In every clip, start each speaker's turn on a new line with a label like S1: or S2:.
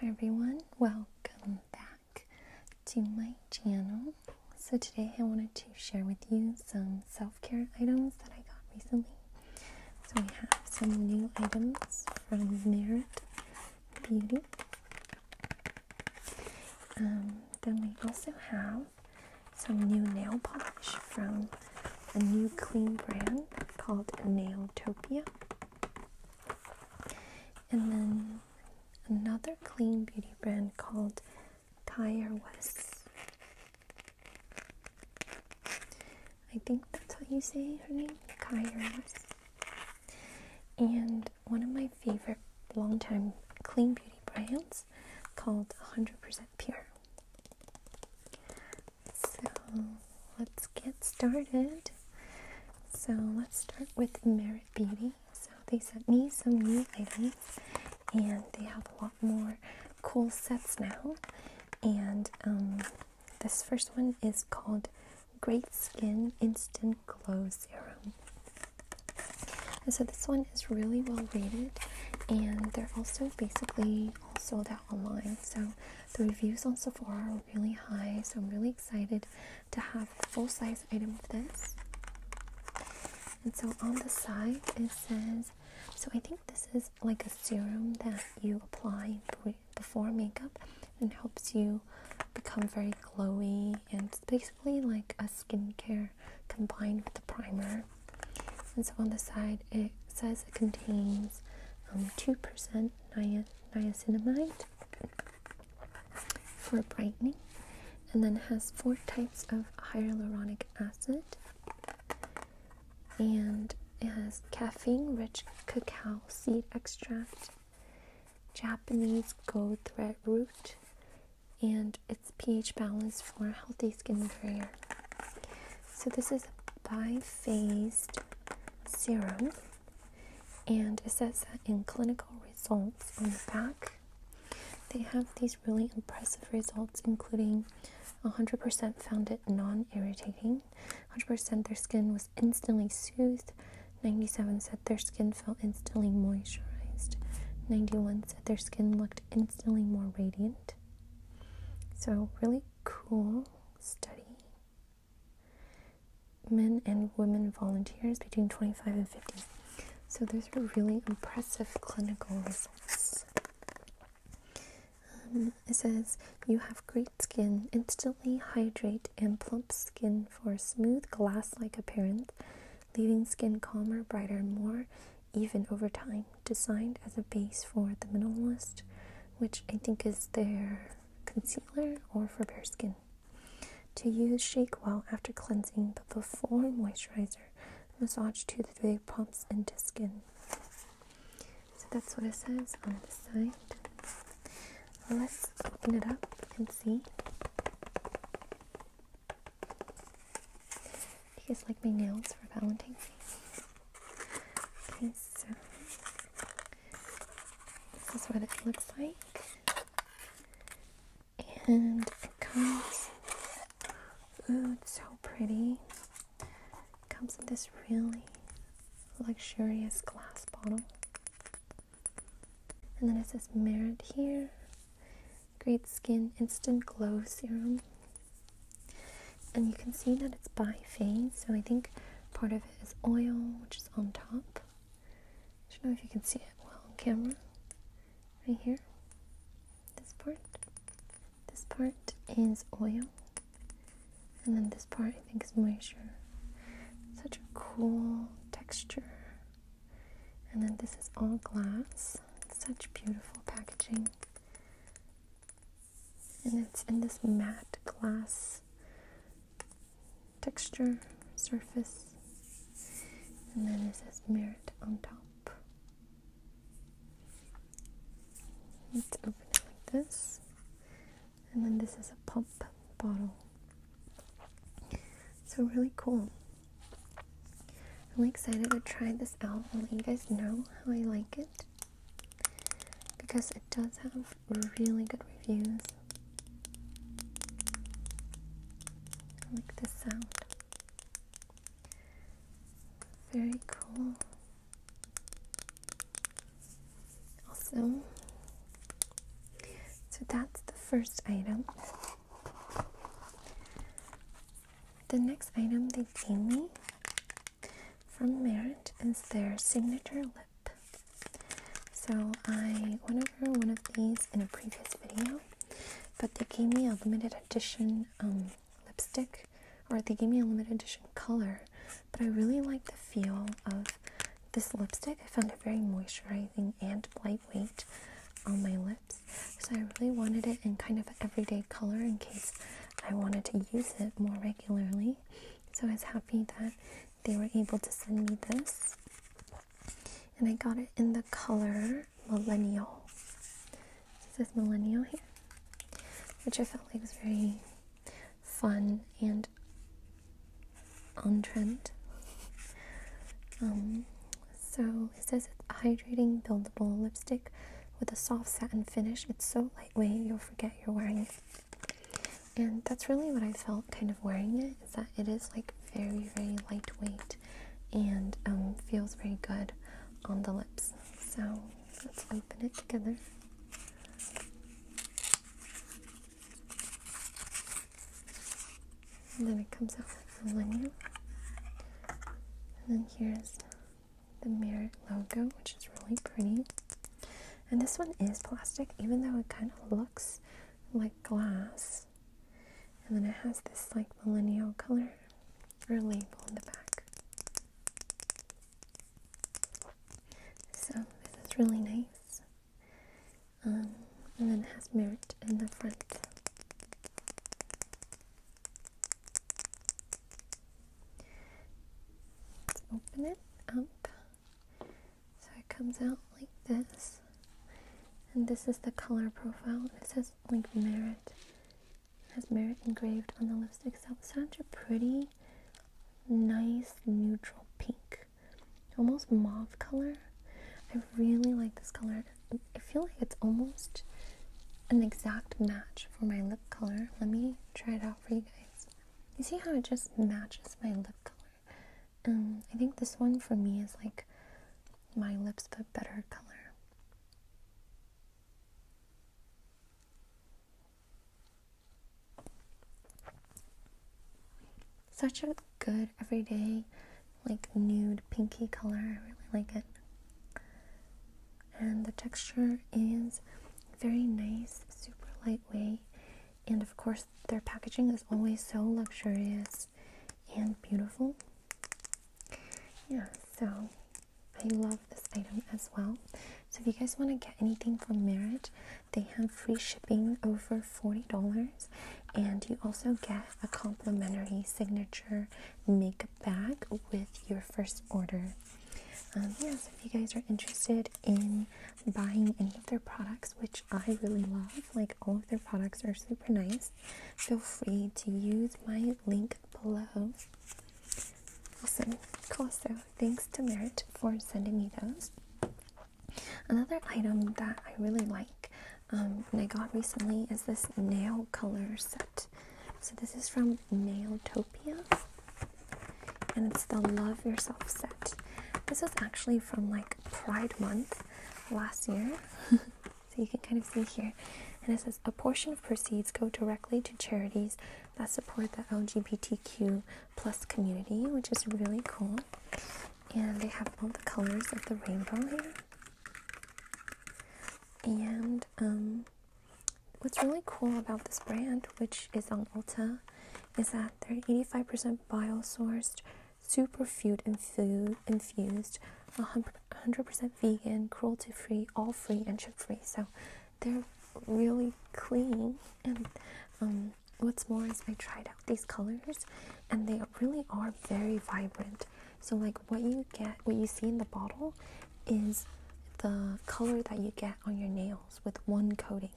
S1: Hi everyone, welcome back to my channel. So today I wanted to share with you some self-care items that I got recently. So we have some new items from Merit Beauty. Um, then we also have some new nail polish from a new clean brand called Nailtopia. And then another clean beauty brand called Tire I think that's how you say her name, Kyra And one of my favorite long-time clean beauty brands called 100% Pure. So let's get started. So let's start with Merit Beauty. So they sent me some new items and they have a lot more cool sets now. And um, this first one is called Great Skin Instant Glow Serum. so this one is really well rated and they're also basically all sold out online. So the reviews on Sephora are really high, so I'm really excited to have a full size item of this. And so on the side it says, so I think this is like a serum that you apply before makeup and helps you become very glowy and it's basically like a skincare combined with the primer. And so on the side it says it contains 2% um, niacin niacinamide for brightening, and then has four types of hyaluronic acid, and it has caffeine-rich cacao seed extract, Japanese gold thread root, and its pH balance for healthy skin barrier. So this is a bi-phased serum and it says that in clinical results on the back they have these really impressive results including 100% found it non-irritating 100% their skin was instantly soothed 97 said their skin felt instantly moisturized 91 said their skin looked instantly more radiant so really cool study men and women volunteers between 25 and 50. So those are really impressive clinical results. Um, it says you have great skin, instantly hydrate and plump skin for smooth glass like appearance, leaving skin calmer, brighter, more even over time. Designed as a base for the minimalist which I think is their concealer or for bare skin. To use, shake well after cleansing, but before moisturizer, massage to the way pumps into skin. So that's what it says on the side. Let's open it up and see. Do you guys like my nails for Valentine's Day? Okay, so uh, this is what it looks like, and it comes. Ooh, so pretty. comes in this really luxurious glass bottle. And then it says Merit here. Great Skin Instant Glow Serum. And you can see that it's by phase, so I think part of it is oil, which is on top. I don't know if you can see it well on camera. Right here, this part. This part is oil. And then this part I think is moisture. Such a cool texture. And then this is all glass. Such beautiful packaging and it's in this matte glass texture surface and then it says merit on top let's open it like this and then this is a pump bottle so really cool I'm really excited to try this out i let you guys know how I like it because it does have really good reviews. I like the sound. Very cool. Also, so that's the first item. The next item they gave me from Merit is their signature lip. So I went over one of these in a previous video, but they gave me a limited edition um, lipstick, or they gave me a limited edition color. But I really like the feel of this lipstick. I found it very moisturizing and lightweight on my lips. So I really wanted it in kind of an everyday color in case I wanted to use it more regularly. So I was happy that they were able to send me this. And I got it in the color Millennial. This is Millennial here, which I felt like was very fun and on trend. Um, so it says it's hydrating, buildable lipstick with a soft satin finish. It's so lightweight, you'll forget you're wearing it. And that's really what I felt kind of wearing it is that it is like very, very lightweight and um, feels very good on the lips. So let's open it together. And then it comes out like a lanyard. And then here's the Merit logo, which is really pretty. And this one is plastic, even though it kind of looks like glass. And then it has this like millennial color or label on the back. So this is really nice. Um, and then it has merit in the front. Let's open it up so it comes out like this. And this is the color profile. It says like Merit. It has Merit engraved on the lipstick itself. It's such a pretty, nice, neutral pink. Almost mauve color. I really like this color. I feel like it's almost an exact match for my lip color. Let me try it out for you guys. You see how it just matches my lip color? Um, I think this one for me is like my lips but better color. Such a good everyday, like nude pinky color. I really like it and the texture is very nice, super lightweight, and of course, their packaging is always so luxurious and beautiful. Yeah, so I love this item as well. So, if you guys want to get anything from Merit, they have free shipping over $40, and you also get a complimentary signature makeup back with your first order. Um, yeah, so if you guys are interested in buying any of their products, which I really love, like all of their products are super nice, feel free to use my link below. Awesome. Cool. So thanks to Merit for sending me those. Another item that I really like and um, I got recently is this nail color set. So this is from Nailtopia, and it's the Love Yourself set. This was actually from like Pride Month last year. so you can kind of see here. And it says a portion of proceeds go directly to charities that support the LGBTQ plus community, which is really cool. And they have all the colors of the rainbow here. And um, what's really cool about this brand, which is on Ulta, is that they're 85% bio-sourced, superfood infused, infused 100% vegan, cruelty-free, all-free, and chip-free. So they're really clean. And um, what's more is I tried out these colors, and they really are very vibrant. So like what you get, what you see in the bottle is the color that you get on your nails with one coating.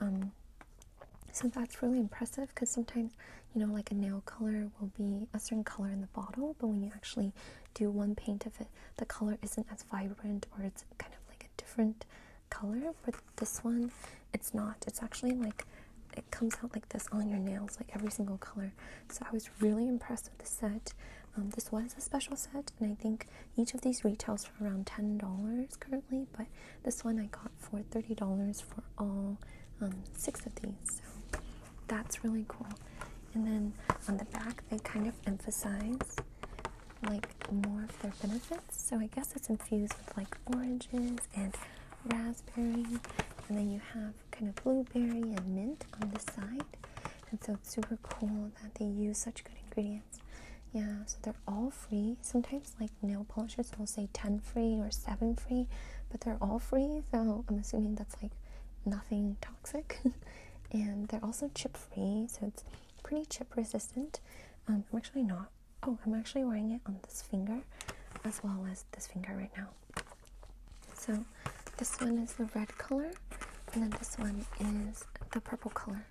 S1: Um, so that's really impressive because sometimes, you know, like a nail color will be a certain color in the bottle, but when you actually do one paint of it, the color isn't as vibrant or it's kind of like a different color. But this one, it's not. It's actually like it comes out like this on your nails, like every single color. So I was really impressed with the set. Um, this was a special set, and I think each of these retails for around ten dollars currently. But this one I got for thirty dollars for all um, six of these. So that's really cool. And then on the back, they kind of emphasize like more of their benefits. So I guess it's infused with like oranges and raspberry, and then you have kind of blueberry and mint on the side. And so it's super cool that they use such good ingredients. Yeah, so they're all free. Sometimes, like nail polishes will say 10 free or 7 free, but they're all free. So I'm assuming that's like nothing toxic. and they're also chip free, so it's pretty chip resistant. Um, I'm actually not. Oh, I'm actually wearing it on this finger as well as this finger right now. So this one is the red color, and then this one is the purple color,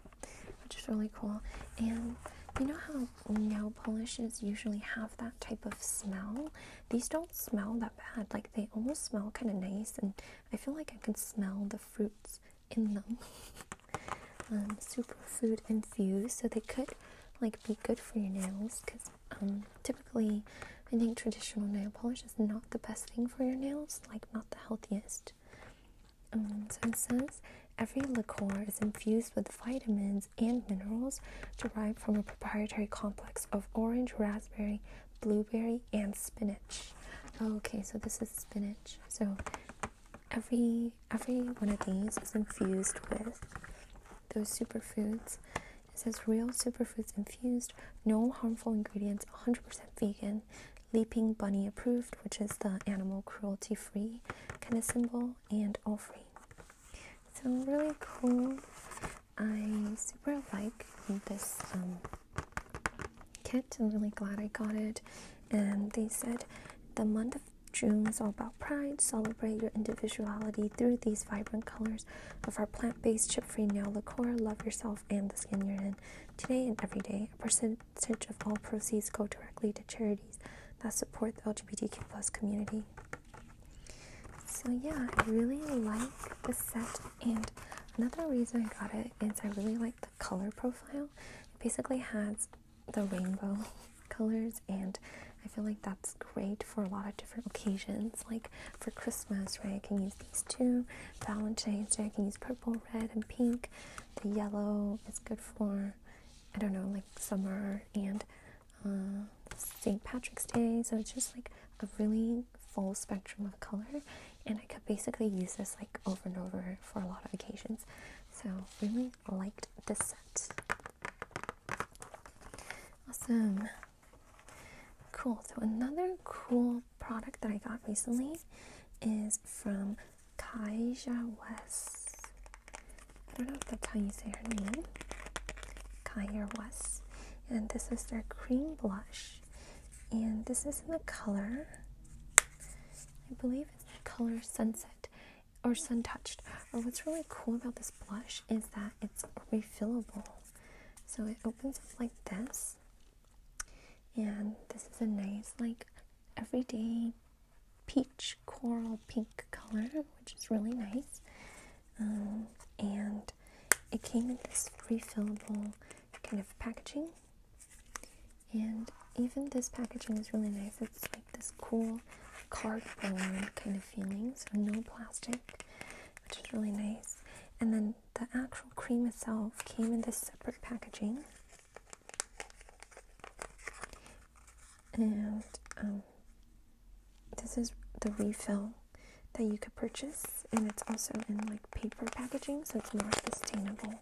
S1: which is really cool. And you know how nail polishes usually have that type of smell? These don't smell that bad. Like they almost smell kind of nice, and I feel like I can smell the fruits in them. um, superfood infused, so they could like be good for your nails because um, typically, I think traditional nail polish is not the best thing for your nails, like, not the healthiest. Um, so it says every liqueur is infused with vitamins and minerals derived from a proprietary complex of orange, raspberry, blueberry, and spinach. Okay, so this is spinach. So every every one of these is infused with those superfoods it says real superfoods infused, no harmful ingredients, 100% vegan, Leaping Bunny approved, which is the animal cruelty free kind of symbol, and all free. So, really cool. I super like this um, kit. I'm really glad I got it. And they said the month of June is all about pride. Celebrate your individuality through these vibrant colors of our plant based, chip free nail lacquer. Love yourself and the skin you're in today and every day. A percentage of all proceeds go directly to charities that support the LGBTQ plus community. So, yeah, I really like the set. And another reason I got it is I really like the color profile. It basically has the rainbow colors and I feel like that's great for a lot of different occasions. Like for Christmas, right? I can use these two. Valentine's Day, I can use purple, red, and pink. The yellow is good for, I don't know, like summer and uh, St. Patrick's Day. So it's just like a really full spectrum of color. And I could basically use this like over and over for a lot of occasions. So really liked this set. Awesome. Cool. So another cool product that I got recently is from Kaija West. I don't know if that's how you say her name. Kaija West. And this is their cream blush. And this is in the color, I believe it's the color Sunset or sun touched. And what's really cool about this blush is that it's refillable. So it opens up like this. And this is a nice, like, everyday peach coral pink color, which is really nice. Um, and it came in this refillable kind of packaging. And even this packaging is really nice. It's this cool cardboard kind of feeling, so no plastic, which is really nice. And then the actual cream itself came in this separate packaging. And um, this is the refill that you could purchase, and it's also in like paper packaging, so it's more sustainable.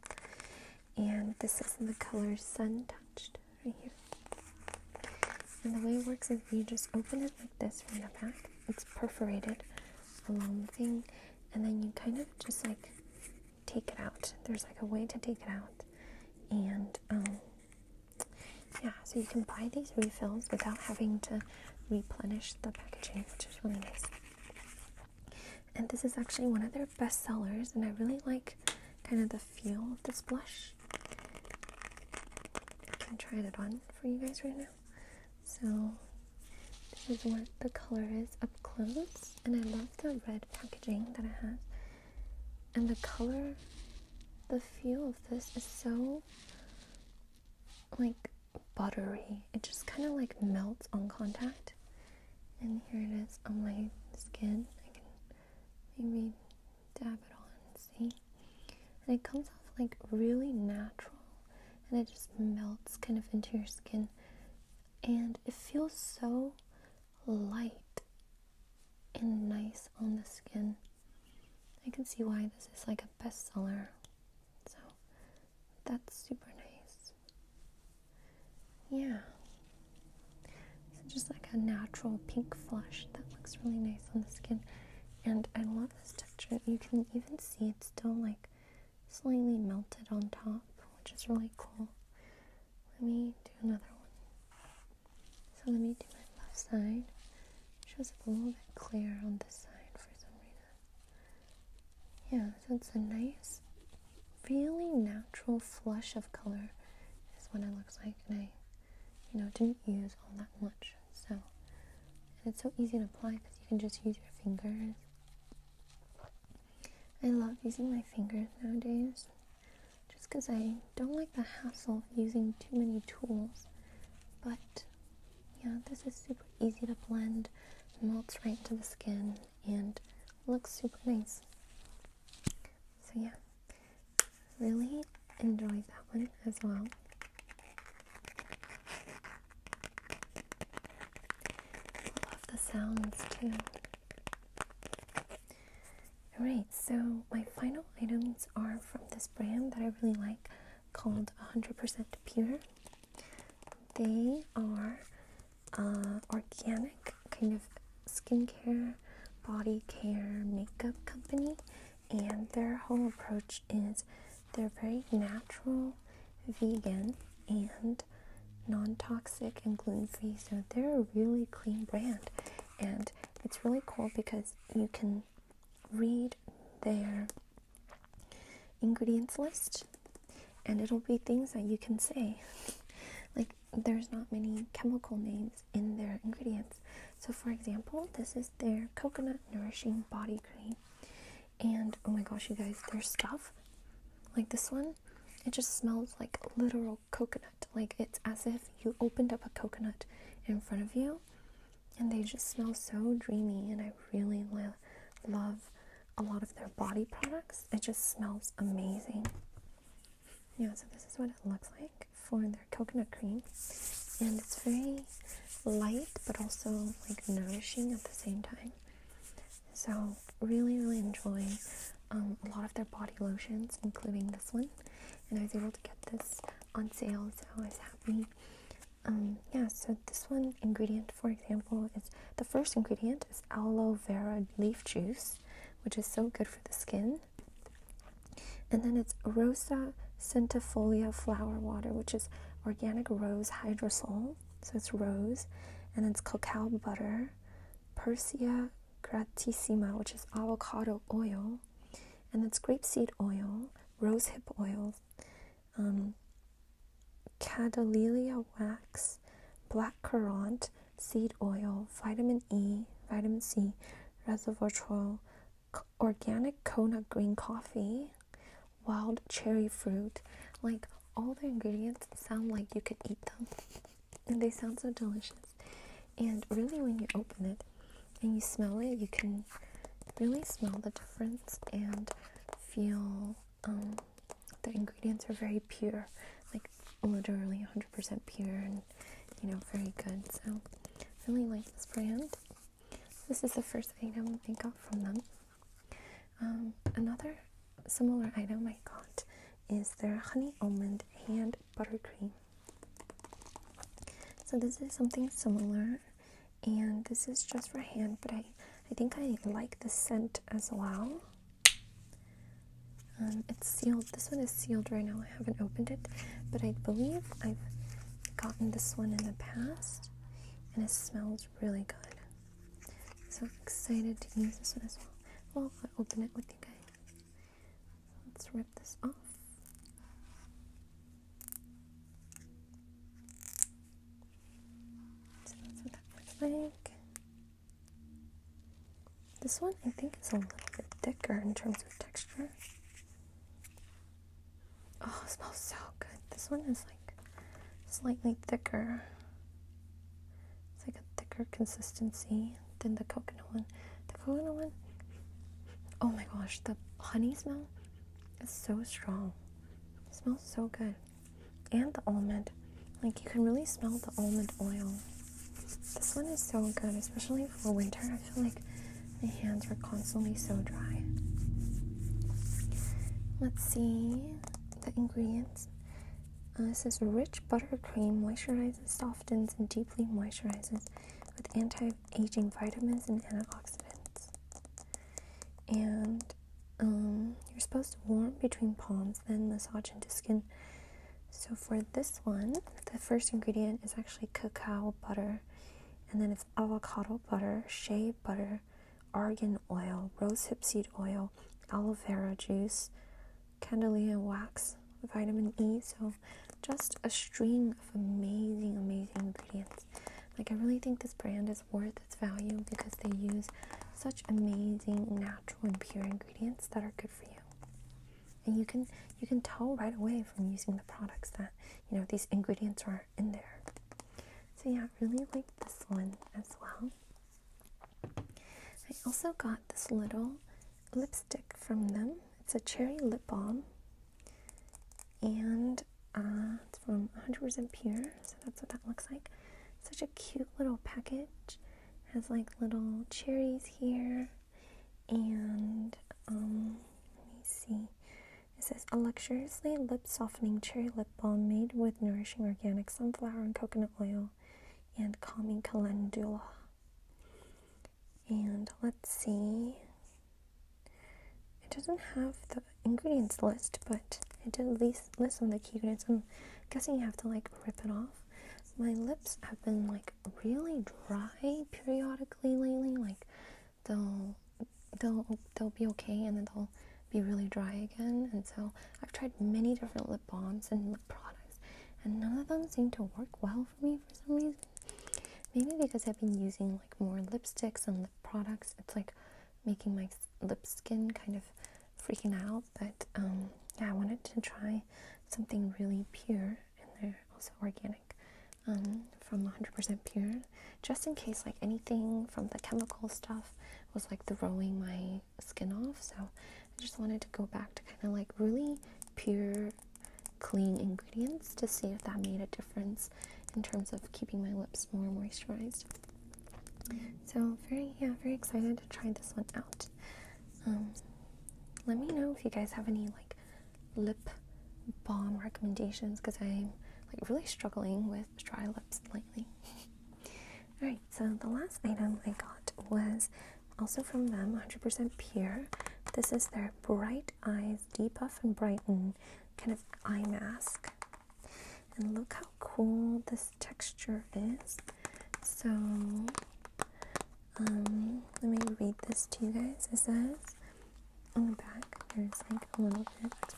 S1: And this is in the color Sun Touched right here. And the way it works is you just open it like this from the back. It's perforated, along the thing, and then you kind of just like take it out. There's like a way to take it out, and um, yeah, so you can buy these refills without having to replenish the packaging, which is really nice. And this is actually one of their best sellers, and I really like kind of the feel of this blush. I'm trying it on for you guys right now. So this is what the color is up close, and I love the red packaging that it has. And the color, the feel of this is so like buttery. It just kind of like melts on contact. And here it is on my skin. I can maybe dab it on, see? And it comes off like really natural and it just melts kind of into your skin. And it feels so light and nice on the skin. I can see why this is like a bestseller. So that's super nice. Yeah. So just like a natural pink flush that looks really nice on the skin. And I love this texture. You can even see it's still like slightly melted on top, which is really cool. Let me do another one. So let me do my left side. shows up a little bit clearer on this side for some reason. Yeah, so it's a nice, really natural flush of color is what it looks like and I, you know, didn't use all that much. So, and it's so easy to apply because you can just use your fingers. I love using my fingers nowadays, just because I don't like the hassle of using too many tools. But yeah, this is super easy to blend, melts right into the skin, and looks super nice. So, yeah, really enjoyed that one as well. Love the sounds too. Alright, so my final items are from this brand that I really like called 100% Pure. They are uh, organic kind of skincare, body care, makeup company, and their whole approach is they're very natural, vegan, and non toxic and gluten free. So they're a really clean brand, and it's really cool because you can read their ingredients list and it'll be things that you can say like there's not many chemical names in their ingredients. So, for example, this is their coconut nourishing body cream, and oh my gosh, you guys, their stuff like this one it just smells like literal coconut, like it's as if you opened up a coconut in front of you, and they just smell so dreamy. And I really lo love a lot of their body products, it just smells amazing. Yeah, so this is what it looks like for their coconut cream. And it's very light, but also like nourishing at the same time. So really, really enjoy um, a lot of their body lotions, including this one. And I was able to get this on sale, so I was happy. Um, yeah, so this one ingredient, for example, is the first ingredient is aloe vera leaf juice which is so good for the skin. And then it's Rosa centifolia flower water, which is organic rose hydrosol. So it's rose. And it's cacao butter, Persia gratissima, which is avocado oil. And it's grapeseed oil, rosehip oil, um, wax, black currant, seed oil, vitamin E, vitamin C, resveratrol, organic Kona green coffee, wild cherry fruit. Like all the ingredients sound like you could eat them, and they sound so delicious. And really, when you open it and you smell it, you can really smell the difference and feel um, the ingredients are very pure, like literally 100% pure and you know, very good. So, I really like this brand. This is the first item I got from them. Um, another similar item I got is their honey almond hand butter cream. So, this is something similar, and this is just for hand, but I, I think I like the scent as well. Um, it's sealed. This one is sealed right now. I haven't opened it, but I believe I've gotten this one in the past, and it smells really good. So excited to use this one as well. Well, I'll open it with you guys. Let's rip this off. So that's what that looks like. This one I think is a little bit thicker in terms of texture. Oh, it smells so good. This one is like slightly thicker. It's like a thicker consistency than the coconut one. The coconut one, oh my gosh, the honey smell is so strong. It smells so good and the almond. Like you can really smell the almond oil. This one is so good, especially for winter. I feel like my hands were constantly so dry. Let's see the ingredients. Uh, this is rich buttercream, moisturizes, softens, and deeply moisturizes with anti aging vitamins and antioxidants. And um, you're supposed to warm between palms, then massage into skin. So for this one, the first ingredient is actually cacao butter, and then it's avocado butter, shea butter, argan oil, rosehip seed oil, aloe vera juice, candelilla wax, vitamin E. So just a string of amazing, amazing ingredients. Like I really think this brand is worth its value because they use such amazing natural natural and pure ingredients that are good for you. And you can you can tell right away from using the products that you know these ingredients are in there. So yeah, I really like this one as well. I also got this little lipstick from them. It's a cherry lip balm, and uh, it's from 100% pure. So that's what that looks like. Such a cute little package. has like little cherries here. And um, let me see. It says a luxuriously lip softening cherry lip balm made with nourishing organic sunflower and coconut oil and calming calendula. And let's see. It doesn't have the ingredients list, but I it didn't list, list on the key units. I'm guessing you have to like rip it off. My lips have been like really dry periodically lately. Like they'll they'll they'll be okay and then they'll be really dry again. And so I've tried many different lip balms and lip products, and none of them seem to work well for me for some reason. Maybe because I've been using like more lipsticks and lip products, it's like making my lip skin kind of freaking out, but um, yeah, I wanted to try something really pure, and they're also organic um, from 100% pure, just in case like anything from the chemical stuff was like throwing my skin off. So I just wanted to go back to kind of like really pure, clean ingredients to see if that made a difference in terms of keeping my lips more moisturized. So very yeah, very excited to try this one out. Um, let me know if you guys have any like lip balm recommendations because I'm like really struggling with dry lips lately. Alright, so the last item I got was also from them, 100% pure. This is their Bright Eyes Depuff and Brighten kind of eye mask. And look how cool this texture is. So, um, let me read this to you guys. It says on the back, there's like a little bit. It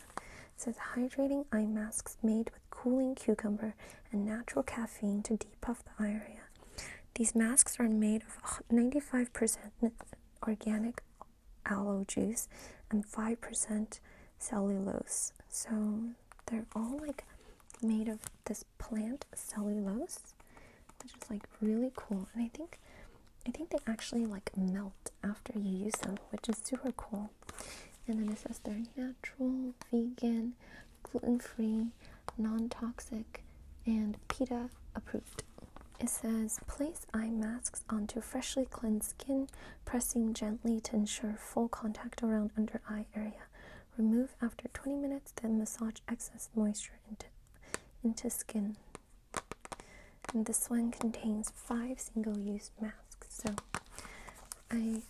S1: says hydrating eye masks made with cooling cucumber and natural caffeine to depuff the area. These masks are made of 95% organic aloe juice and 5% cellulose. So they're all like made of this plant cellulose, which is like really cool. And I think I think they actually like melt after you use them, which is super cool. And then it says they're natural, vegan, gluten-free, non-toxic, and PETA approved. It says place eye masks onto freshly cleansed skin pressing gently to ensure full contact around under eye area. Remove after 20 minutes, then massage excess moisture into, into skin. this one contains five single use masks. So I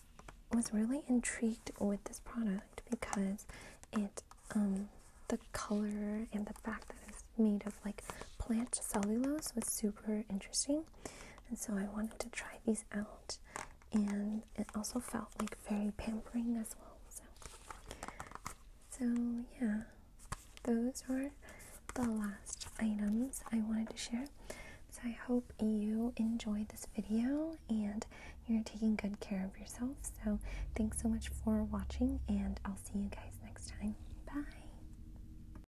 S1: was really intrigued with this product because it, um, the color and the fact that it's made of like plant cellulose was super interesting. And so I wanted to try these out, and it also felt like very pampering as well. So, so yeah, those were the last items I wanted to share. So I hope you enjoyed this video and you're taking good care of yourself. So thanks so much for watching, and I'll see you guys next time. Bye.